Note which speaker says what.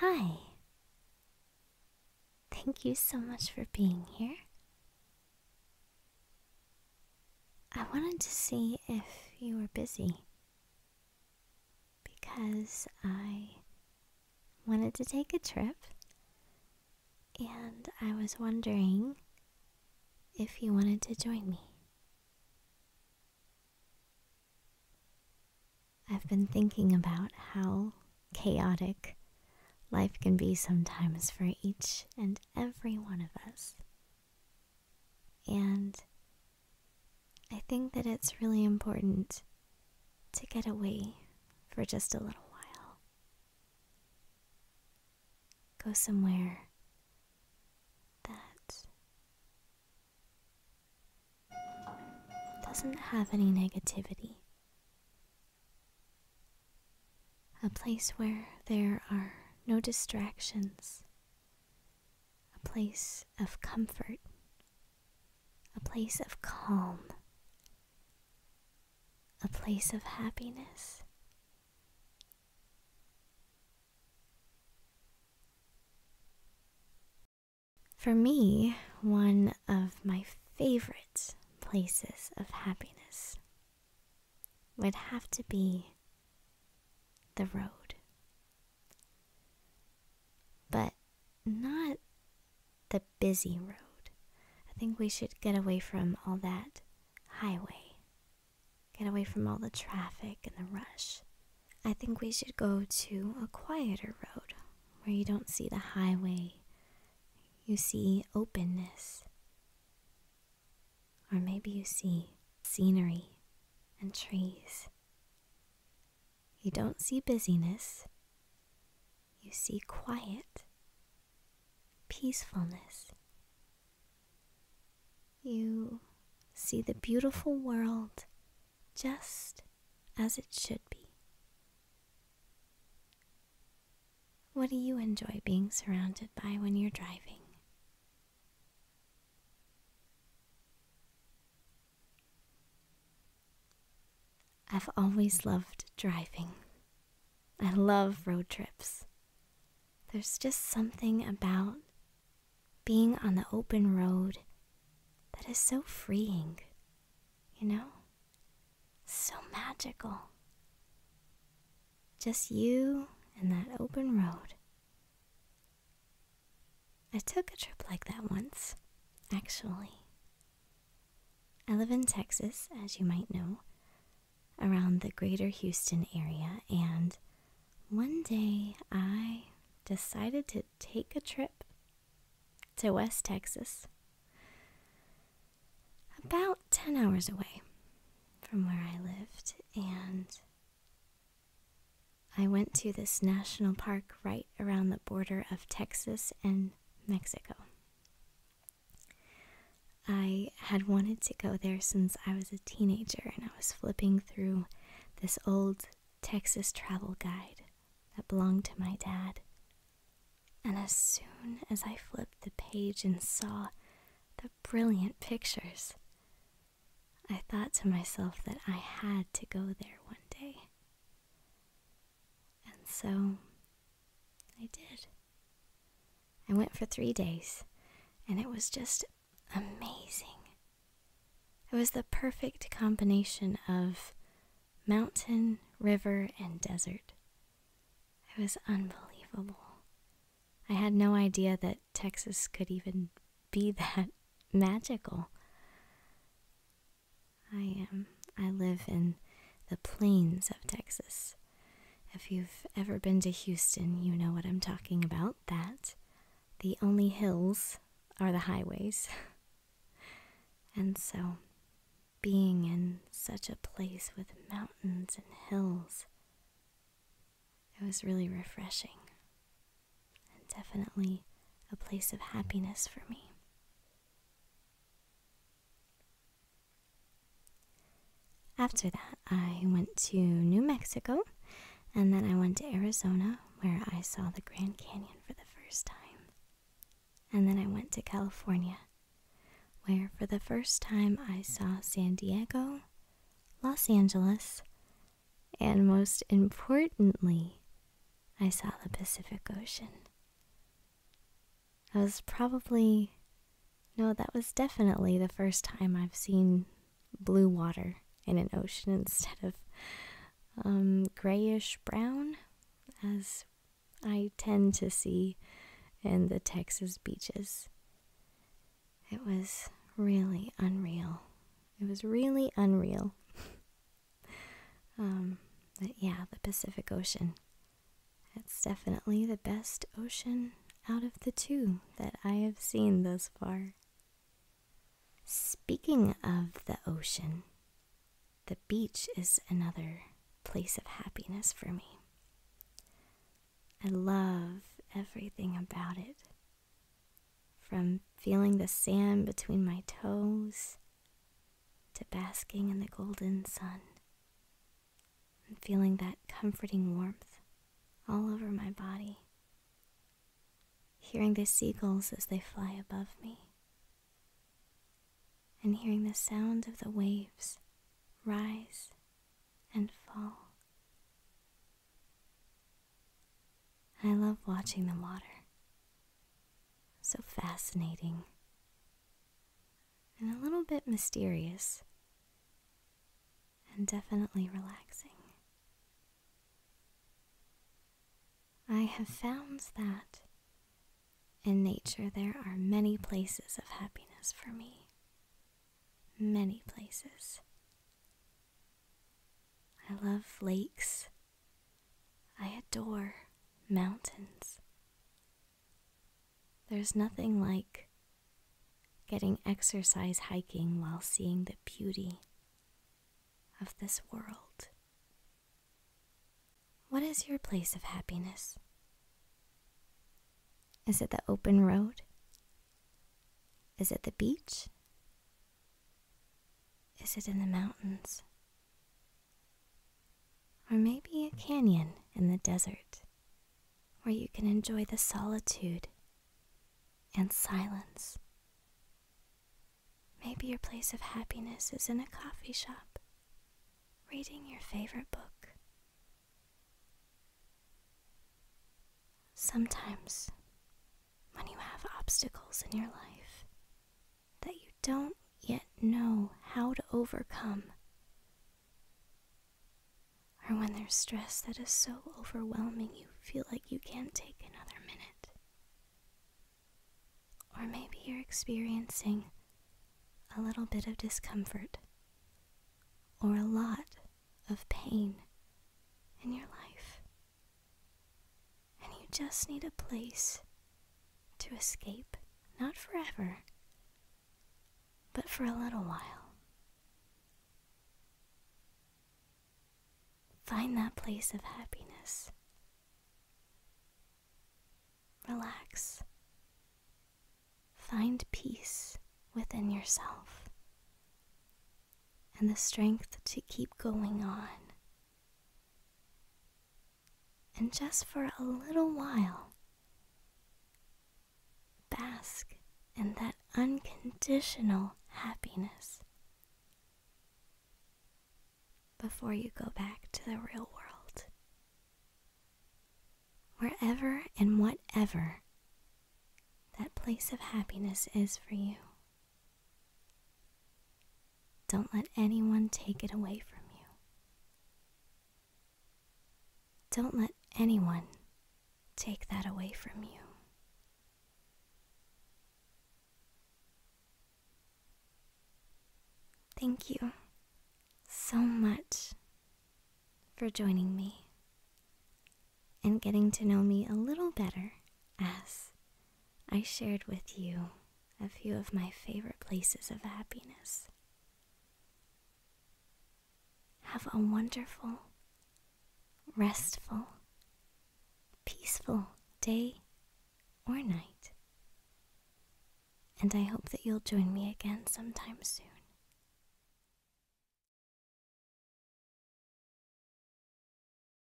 Speaker 1: Hi. Thank you so much for being here. I wanted to see if you were busy because I wanted to take a trip and I was wondering if you wanted to join me. I've been thinking about how chaotic life can be sometimes for each and every one of us. And I think that it's really important to get away for just a little while. Go somewhere that doesn't have any negativity. A place where there are no distractions. A place of comfort. A place of calm. A place of happiness. For me, one of my favorite places of happiness would have to be the road. But not the busy road. I think we should get away from all that highway Get away from all the traffic and the rush. I think we should go to a quieter road where you don't see the highway. You see openness. Or maybe you see scenery and trees. You don't see busyness. You see quiet, peacefulness, you see the beautiful world just as it should be. What do you enjoy being surrounded by when you're driving? I've always loved driving. I love road trips. There's just something about being on the open road that is so freeing, you know? So magical. Just you and that open road. I took a trip like that once, actually. I live in Texas, as you might know, around the greater Houston area, and one day I decided to take a trip to West Texas, about 10 hours away from where I lived, and I went to this national park right around the border of Texas and Mexico. I had wanted to go there since I was a teenager and I was flipping through this old Texas travel guide that belonged to my dad. And as soon as I flipped the page and saw the brilliant pictures, I thought to myself that I had to go there one day. And so I did. I went for three days, and it was just amazing. It was the perfect combination of mountain, river, and desert. It was unbelievable. I had no idea that Texas could even be that magical. I am. Um, I live in the plains of Texas. If you've ever been to Houston, you know what I'm talking about. That the only hills are the highways. and so, being in such a place with mountains and hills, it was really refreshing and definitely a place of happiness for me. After that, I went to New Mexico and then I went to Arizona where I saw the Grand Canyon for the first time. And then I went to California where for the first time I saw San Diego, Los Angeles, and most importantly, I saw the Pacific Ocean. That was probably. No, that was definitely the first time I've seen blue water in an ocean instead of um, grayish brown, as I tend to see in the Texas beaches. It was really unreal. It was really unreal. Um, but yeah, the Pacific Ocean. It's definitely the best ocean out of the two that I have seen thus far. Speaking of the ocean, the beach is another place of happiness for me. I love everything about it. From feeling the sand between my toes to basking in the golden sun and feeling that comforting warmth all over my body. Hearing the seagulls as they fly above me, and hearing the sound of the waves rise and fall. I love watching the water. So fascinating and a little bit mysterious, and definitely relaxing. I have found that in nature there are many places of happiness for me. Many places. I love lakes. I adore mountains. There's nothing like getting exercise hiking while seeing the beauty of this world. What is your place of happiness? Is it the open road? Is it the beach? Is it in the mountains? Or maybe a canyon in the desert where you can enjoy the solitude and silence. Maybe your place of happiness is in a coffee shop, reading your favorite book. Sometimes, when you have obstacles in your life, that you don't yet know how to overcome, or when there's stress that is so overwhelming you feel like you can't take another minute, or maybe you're experiencing a little bit of discomfort or a lot of pain in your life and you just need a place to escape, not forever, but for a little while. Find that place of happiness. Relax. Find peace within yourself and the strength to keep going on and just for a little while, bask in that unconditional happiness before you go back to the real world. Wherever and whatever that place of happiness is for you, don't let anyone take it away from you. Don't let anyone take that away from you. Thank you so much for joining me and getting to know me a little better as I shared with you a few of my favorite places of happiness. Have a wonderful, restful, peaceful day or night. And I hope that you'll join me again sometime soon.